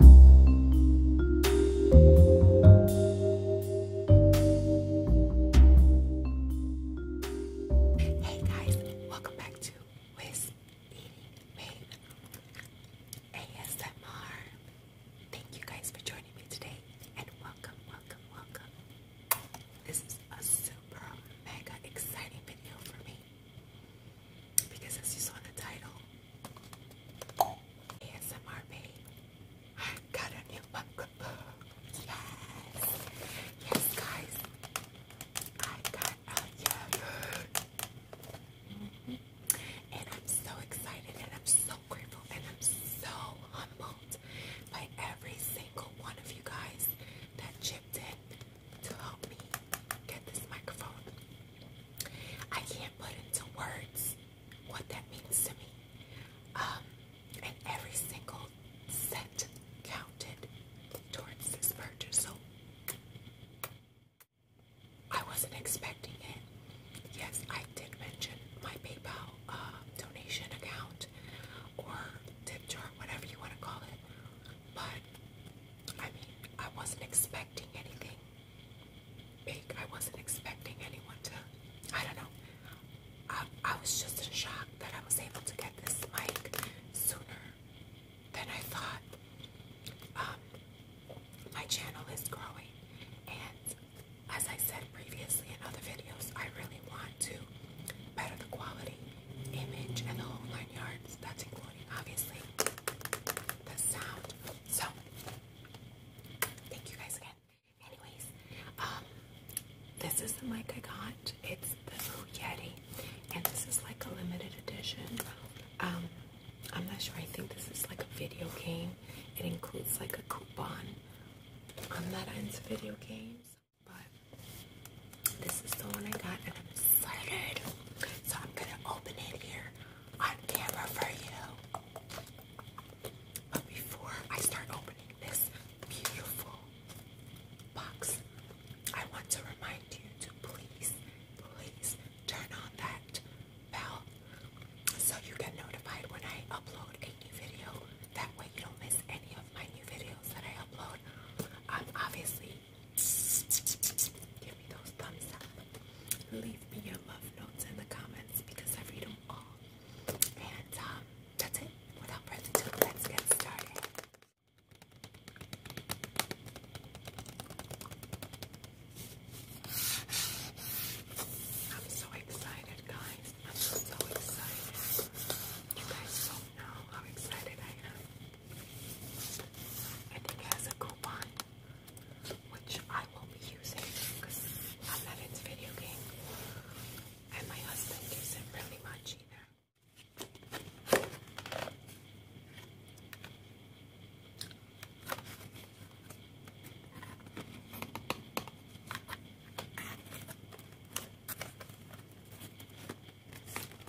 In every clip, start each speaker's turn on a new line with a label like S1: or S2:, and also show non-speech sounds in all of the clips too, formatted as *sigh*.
S1: Hey guys, welcome back to Wiz Eating ASMR. Thank you guys for joining me today and welcome, welcome, welcome. This is a super mega exciting video for me because as you saw in the title, ASMR babe. I got a new book. Yes. Yes, guys. I got a yearbook. Mm And I'm so excited and I'm so grateful and I'm so humbled by every single one of you guys that chipped in to help me get this microphone. I can't put into words what that means to me. Um, and every single cent counted towards this purchase. So I wasn't expecting it. Yes, I did mention my PayPal uh, donation account or tip whatever you want to call it. But I mean, I wasn't expecting anything I wasn't expecting anyone to, I don't know. I, was just in shock that I was able to get this mic sooner than I thought. Um, my channel is growing, and as I said previously in other videos, I really want to better the quality, image, and the whole nine yards. That's including, obviously, the sound. So thank you guys again. Anyways, um, this is the mic I got. It's the Blue Yeti, and this is like a limited edition. Um, I'm not sure. I think this is like a video game. It includes like a coupon. On that ends video games, but this is the one I got, and I'm excited. So I'm gonna open it here on camera for you. But before I start opening this beautiful box, I want to remind you to please, please turn on that bell so you get notified when I upload a new video. That way you don't miss any of my new videos that I upload. Um, obviously, Give me those thumbs up. Leave me your love notes in the comments because I read them all. And um, that's it. Without further ado, let's get started. I'm so excited, guys. I'm so, so excited. You guys don't know how excited I am. And it has a coupon, which I will be using because I'm not video games. And my husband isn't really much either.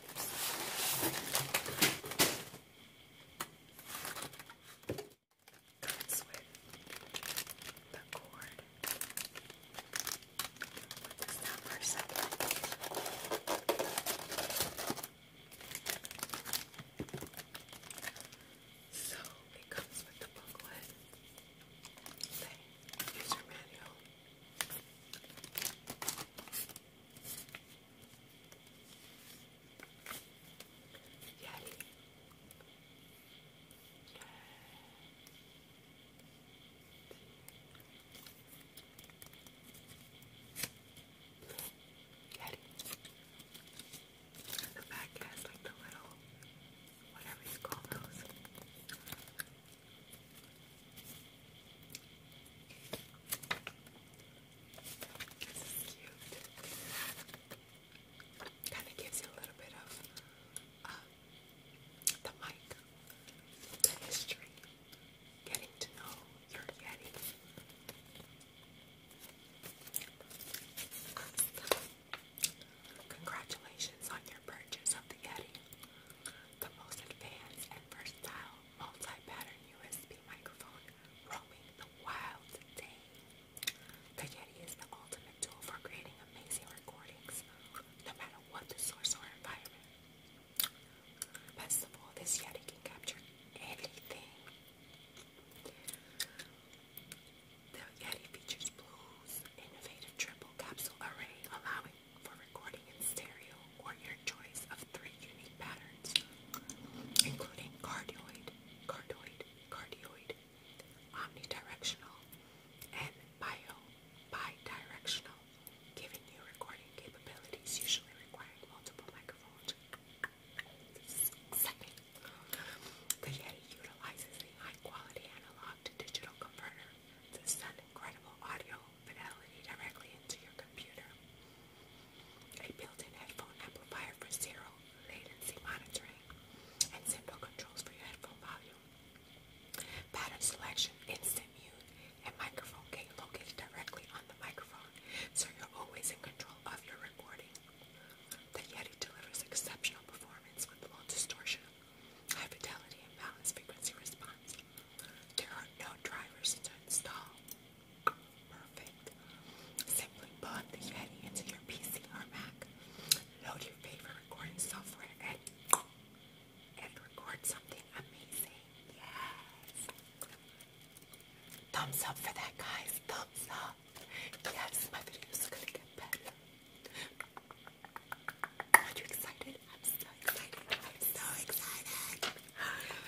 S1: It's with the cord. Put this down So it comes with the booklet, the user manual. Yeti. Yeti. The back has like the little, whatever you call those, Kind of gives you a little bit of uh, the mic, the history, getting to know your Yeti. Congratulations on your purchase of the Yeti, the most advanced and versatile multi-pattern USB microphone roaming the wild day. The Yeti is the ultimate tool for creating amazing recordings, no matter what the source or environment. Best of all, this Yeti can capture anything. The Yeti features Blue's innovative triple capsule array, allowing for recording in stereo or your choice of three unique patterns, including cardioid, cardioid, cardioid, omnidirectional, and bio, bidirectional, giving you recording capabilities usually requiring multiple microphones. the Yeti utilizes a high-quality analog digital converter to send incredible audio fidelity directly into your computer. A built-in headphone amplifier for zero latency monitoring and simple controls for your headphone volume. Pattern selection, instant mute, and microphone gain located directly on the microphone so you're always in control of your recording. The Yeti delivers exceptional performance with low distortion, high fidelity, and balanced frequency response. There are no drivers to install. Perfect. Simply plug the Yeti into your PC or Mac. Load your favorite recording software and and record something amazing. Yes. Thumbs up for that, guys. Thumbs up. Yes, my videos are gonna get better. Are you excited? I'm so excited. I'm so excited.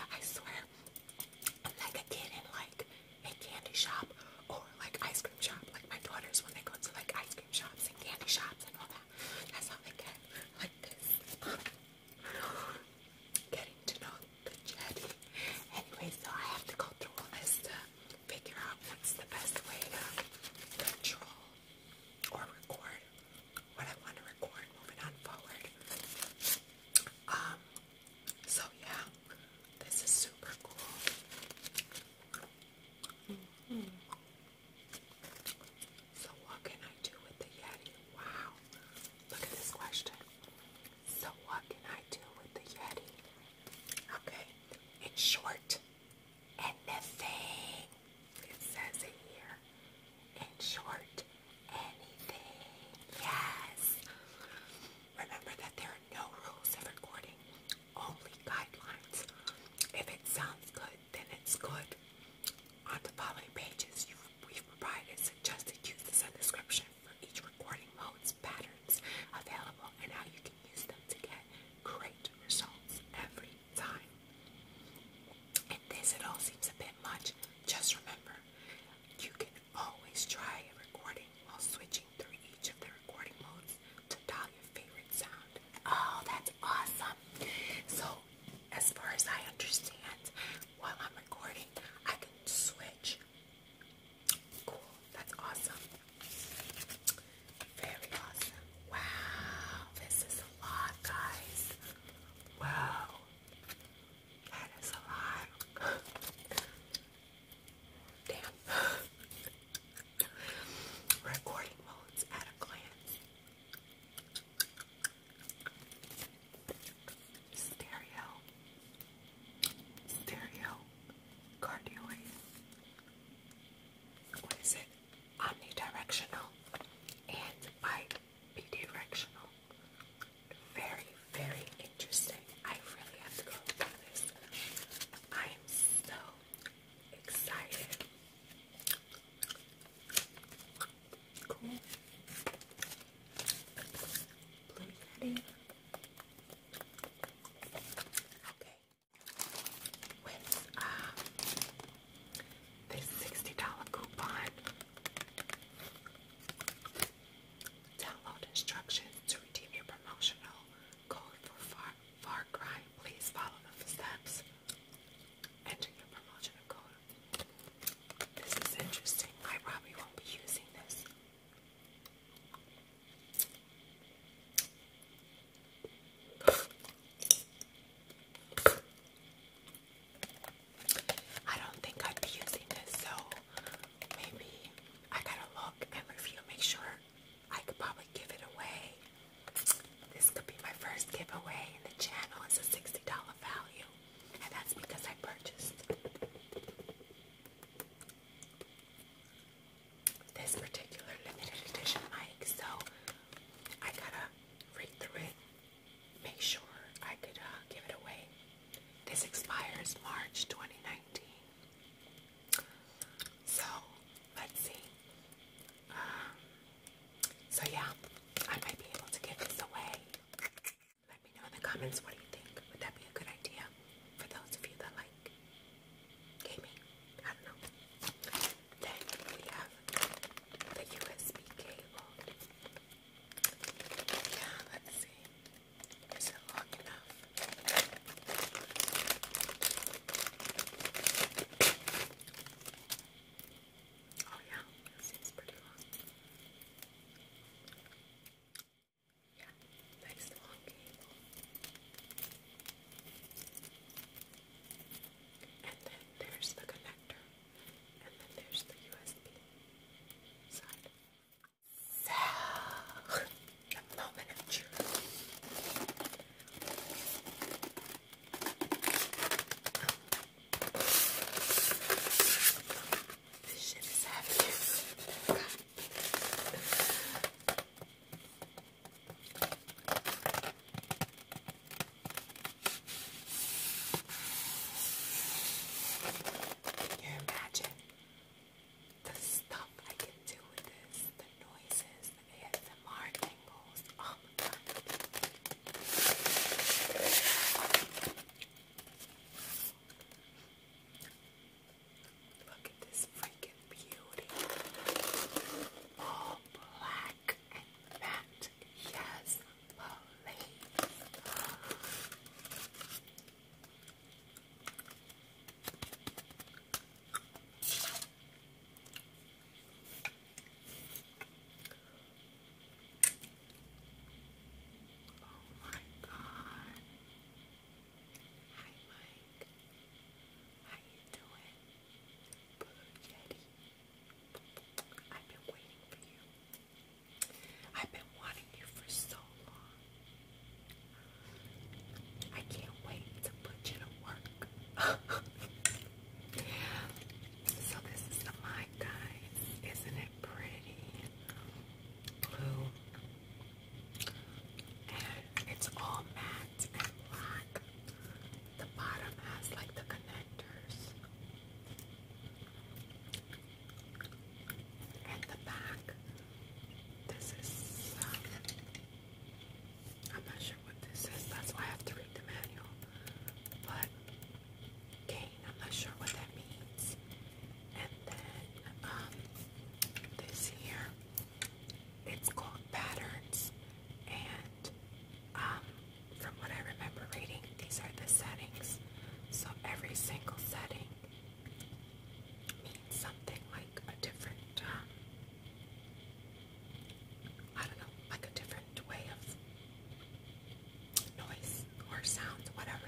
S1: I swear, I'm like a kid in like a candy shop or like ice cream shop. Like my daughters when they go to like ice cream shops and candy shops and all that. That's how they get like this. Getting to know the jetty. Anyway, so I have to go through all this to figure out what's the best way to control or record what I want to record moving on forward. Um, so yeah, this is super cool. Mm-hmm. So what can I do with the Yeti? Wow, look at this question. So what can I do with the Yeti? Okay, it's short and it says it here. In short, anything. Yes. Remember that there are no rules of recording, only guidelines. If it sounds good, then it's good. On the following pages, we've provided suggested uses and description for each recording mode's patterns available and how you can use them to get great results every time. And this, it all seems a bit much. Just remember, you can always try a recording while switching through each of the recording modes to dial your favorite sound. Oh, that's awesome! So, as far as I understand, while I'm recording, I can switch. Cool, that's awesome. Very awesome. Wow, this is a lot, guys. Wow, that is a lot. *gasps* Damn. *gasps* Recording modes at a glance. Stereo. Stereo. Cardioid. What is it? omnidirectional and bidirectional. Very, very interesting. I really have to go through this. I am so excited. Cool. Blue Yeti. Okay with um, $60 coupon. Download instructions to redeem your promotional code for far Cry. Please follow the steps. Enter your promotional code. This is interesting. I probably won't be using this. I don't think I'd be using this, so maybe I gotta look and review, make sure I could probably give it away. This could be my first giveaway in the channel. It's a $60 value, and that's because I purchased this particular limited edition mic. So I gotta read through it, make sure I could uh, give it away. This expires March 2019. So, let's see. Um, so, yeah, I might be able to give this away. Let me know in the comments what do you think. Would that be a good idea for those of you that like gaming. I don't know. Then we have the USB cable. Yeah, let's see. Is it long enough? Oh yeah, it seems pretty long. Yeah, nice long cable. And then there's the connector. And then there's the USB side. So, the moment of truth. This is heavy. Can you imagine the stuff I can do with this? The noises, the ASMR angles. Oh my god. Look at this freaking Beauty. All black and matte. Yes, please. Oh my god. Hi Mike. How you doing? Blue Yeti. I've been waiting for you. I've been wanting you for so long. I can't wait to put you to work. *laughs* so this is the mic, guys. Isn't it pretty? Blue. And it's all matte and black. The bottom has like the connectors, and the back. This is. I'm not sure what this is. That's why I have to read the manual. But cane. I'm not sure what that means. And then um, this here it's called Patterns, and um, from what I remember reading, these are the settings. So every single setting means something like a different, um, I don't know, like a different way of noise or sounds, whatever.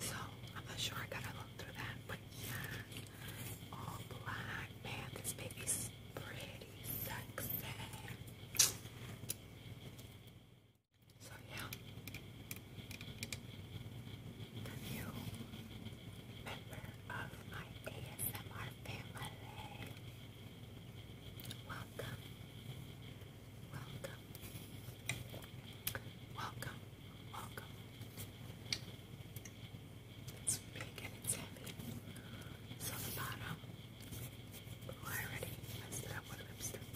S1: So I'm not sure. I gotta look through that, but yeah, all black. Man, this baby's is pretty sexy. So yeah, new member of my ASMR family. Welcome, welcome, welcome, welcome. It's big and it's heavy. So the bottom, oh, I already messed up with lipstick.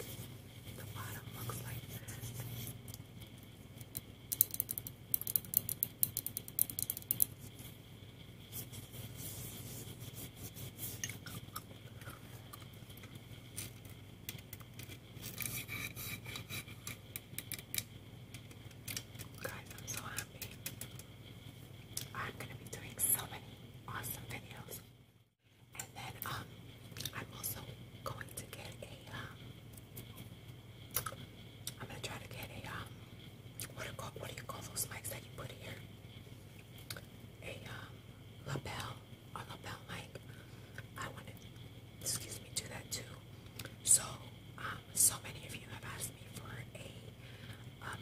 S1: The bottom looks like this. Guys, I'm so happy I'm gonna be doing so many awesome videos. And then um I'm also going to get a um I'm gonna try to get a um what do you call what do you call those mics that you put here? A um lapel a lapel mic. I wanna excuse me do that too. So um, so many of you have asked me for a,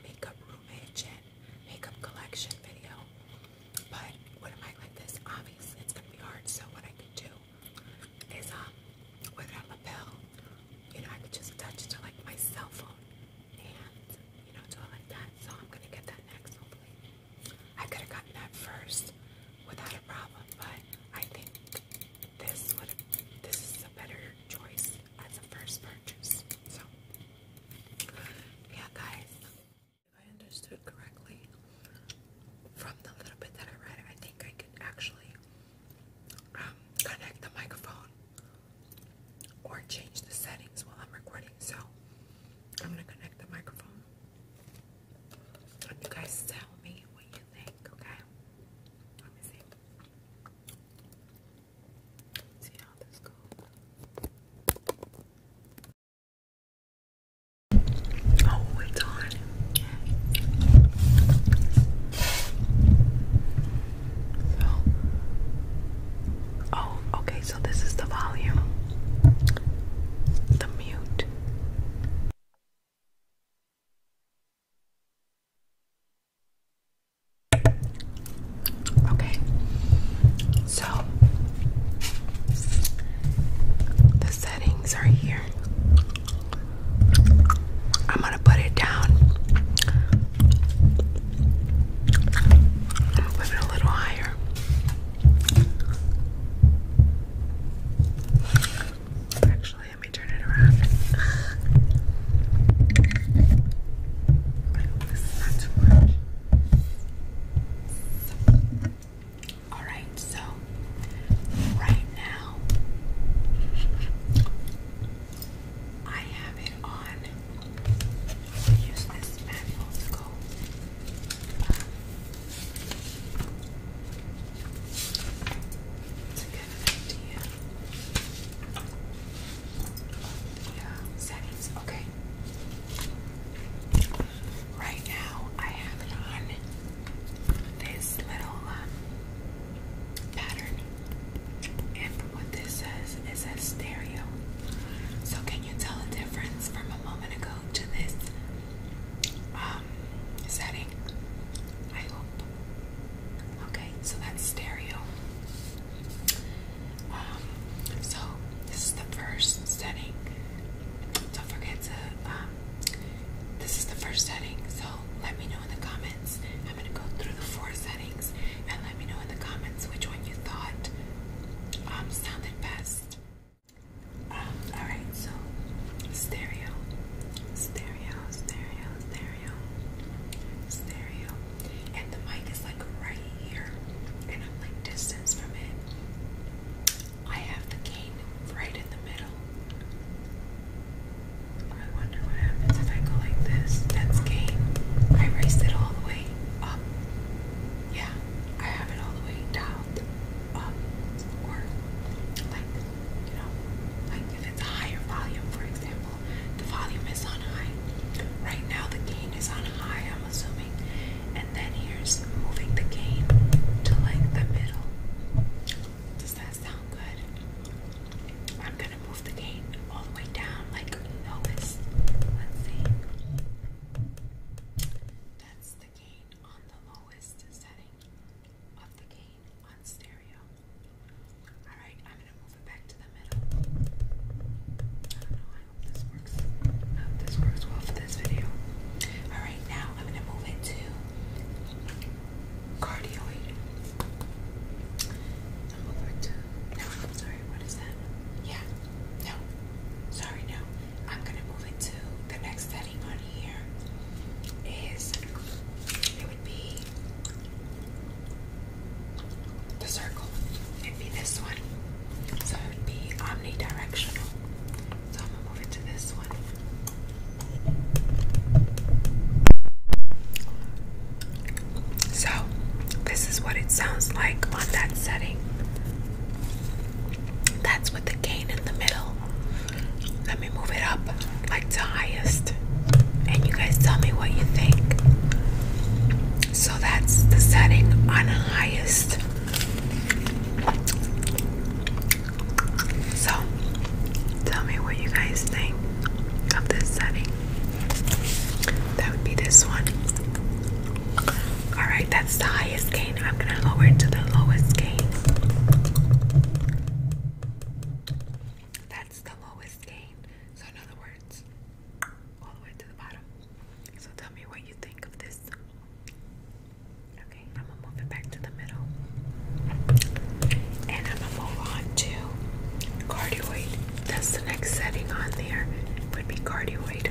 S1: makeup roomage and makeup collection video, but what am I like this, obviously it's going to be hard. So what I could do is, um, with a pill, you know, I could just touch it to like my cell phone and you know do it like that. So I'm going to get that next, hopefully. I could have gotten that first without a problem, but I think this would this is a better choice as a first purchase. So yeah guys. If I understood correctly from the little bit that I read, I think I could actually um, connect the microphone or change the settings while I'm recording. So I'm gonna connect the microphone. And you guys tell me what you okay? Let me see. see how this goes. Oh, it's on. So, oh, okay, so this is the volume, the mute. Okay, so the settings are here. I'm gonna put it down. i it a little higher. Actually, let me turn it around. Alright, so right now I have it on. use this manual to go have settings. Okay. Right now, I have it on this little um, pattern, and what this says, it says stereo. So, can you tell a difference from a moment ago to this? Um, setting. I hope. Okay, so that's stereo. Um, so this is the first setting. Don't forget to. Um, this is the first setting, so let me know in the comments. I'm gonna go through the four settings and let me know in the comments which one you thought um, sounded best. Alright, so stereo, stereo, stereo, stereo, stereo. And the mic is like right here, and I'm like distance from it. I have the cane right in the middle. I wonder what happens if I go like this. That's game. I raised it all the way up. Yeah, I have it all the way down, up, or like you know, like if it's a higher volume, for example, the volume is on high. Right now, the gain is on high, I'm assuming. And then here's moving the gain to like the middle. Does that sound good? I'm gonna move the gain all the way down, like lowest. Let's see. That's the gain on the lowest setting of the gain on stereo. Alright, I'm gonna move it back to the middle. I don't know, I this works. I hope this works well for this video. Alright, now I'm gonna move it to cardioid. I'm over to no, sorry, what is that? Yeah, no. Sorry, no. I'm gonna move it to the next setting here is it would be the circle. It'd be this one. So it would be omnidirectional. So I'm gonna move it to this one. So this is what it sounds like on that setting. That's with the gain in the middle. Let me move it up like to highest. And you guys tell me what you think. So that's the setting on highest. So tell me what you guys think of this setting. That would be this one. Alright, that's the I'm gonna lower it to the lowest gain. That's the lowest gain. So in other words, all the way to the bottom. So tell me what you think of this. Okay, I'm gonna move it back to the middle. And I'm gonna move on to cardioid. That's the next setting on there. Would be cardioid.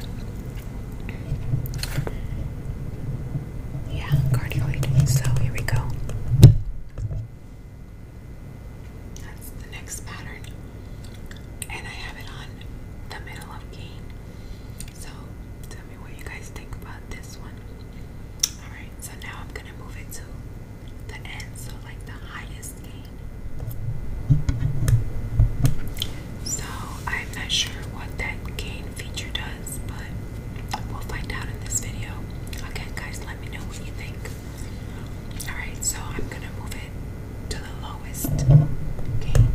S1: Yeah, cardioid. So here we go. That's the next pattern. And I have it on the middle of cane. So tell me what you guys think about this one. Alright, so now I'm gonna move it to the end, so like the highest cane. So I'm not sure what that cane feature does was, but we'll find out in this video. Again, guys, let me know what you think. Alright, so I'm gonna move it to the lowest gain.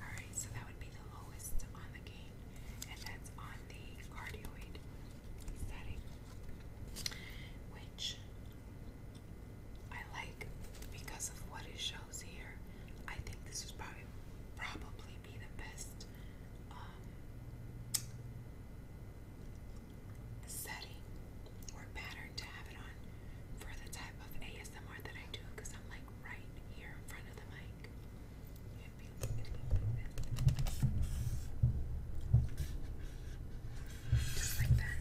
S1: Alright, so that would be the lowest on the gain, and that's on the cardioid setting, which I like because of what it shows here. I think this is probably probably be the best um, setting or pattern to have it on for the type of ASMR that I do because I'm like right here in front of the mic like that.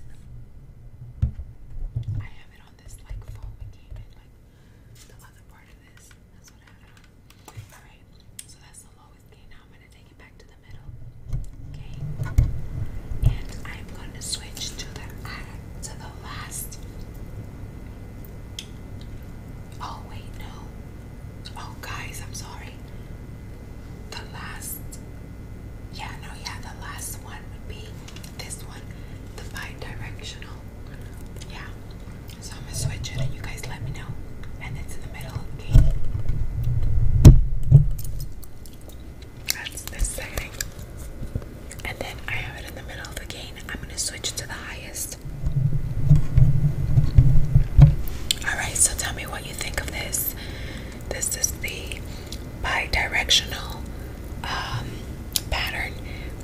S1: I have it on this like foam it like the other part of this. That's what I Alright, so that's the lowest gain. Now I'm gonna take it back to the middle. Okay. And I'm gonna switch to the to the last. Oh wait, no. Oh guys, I'm sorry. The last yeah, no, yeah, the last one would be this one, the bi-directional. Yeah. So I'm gonna switch it and you guys let me know. And it's in the middle, okay? That's this setting. And then I have it in the middle of the gain. I'm gonna switch to the highest. Alright, so tell me what you think of this. This is the bi-directional um, pattern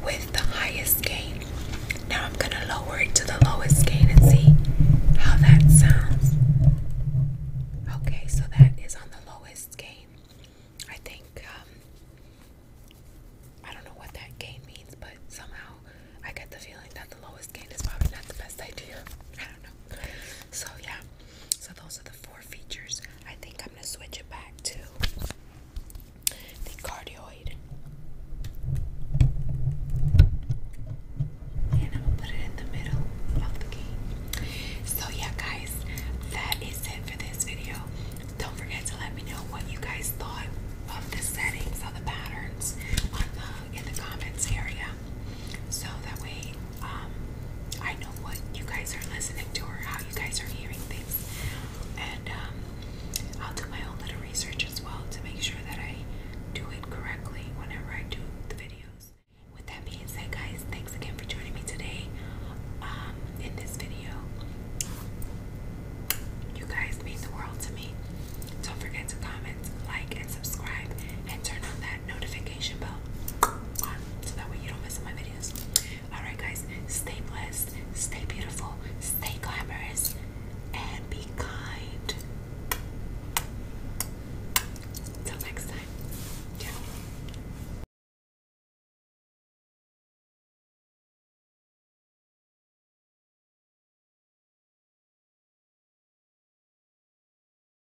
S1: with the highest gain. Now I'm gonna lower it to the lowest gain and see how that sounds. Okay, so that is on the lowest gain. I think um, I don't know what that gain means, but somehow I get the feeling that the lowest gain is probably not the best idea. I don't know. So yeah, so those are the four features. I think I'm gonna switch it back to the cardioid. So yeah guys, that is it for this video. Don't forget to let me know what you guys thought of the settings of the patterns in the comments area. So that way, um, I know what you guys are listening to or how you guys are hearing things. And um, I'll do my own little research as well to make sure that I do it correctly whenever I do the videos. With that being said, guys, thanks again for joining me today um, in this video. You guys mean the world to me. Don't forget to comment, like, and subscribe, and turn on that notification bell so that way you don't miss my videos. Alright, guys, stay blessed, stay beautiful, stay glamorous, and be kind. Till next time. Ciao.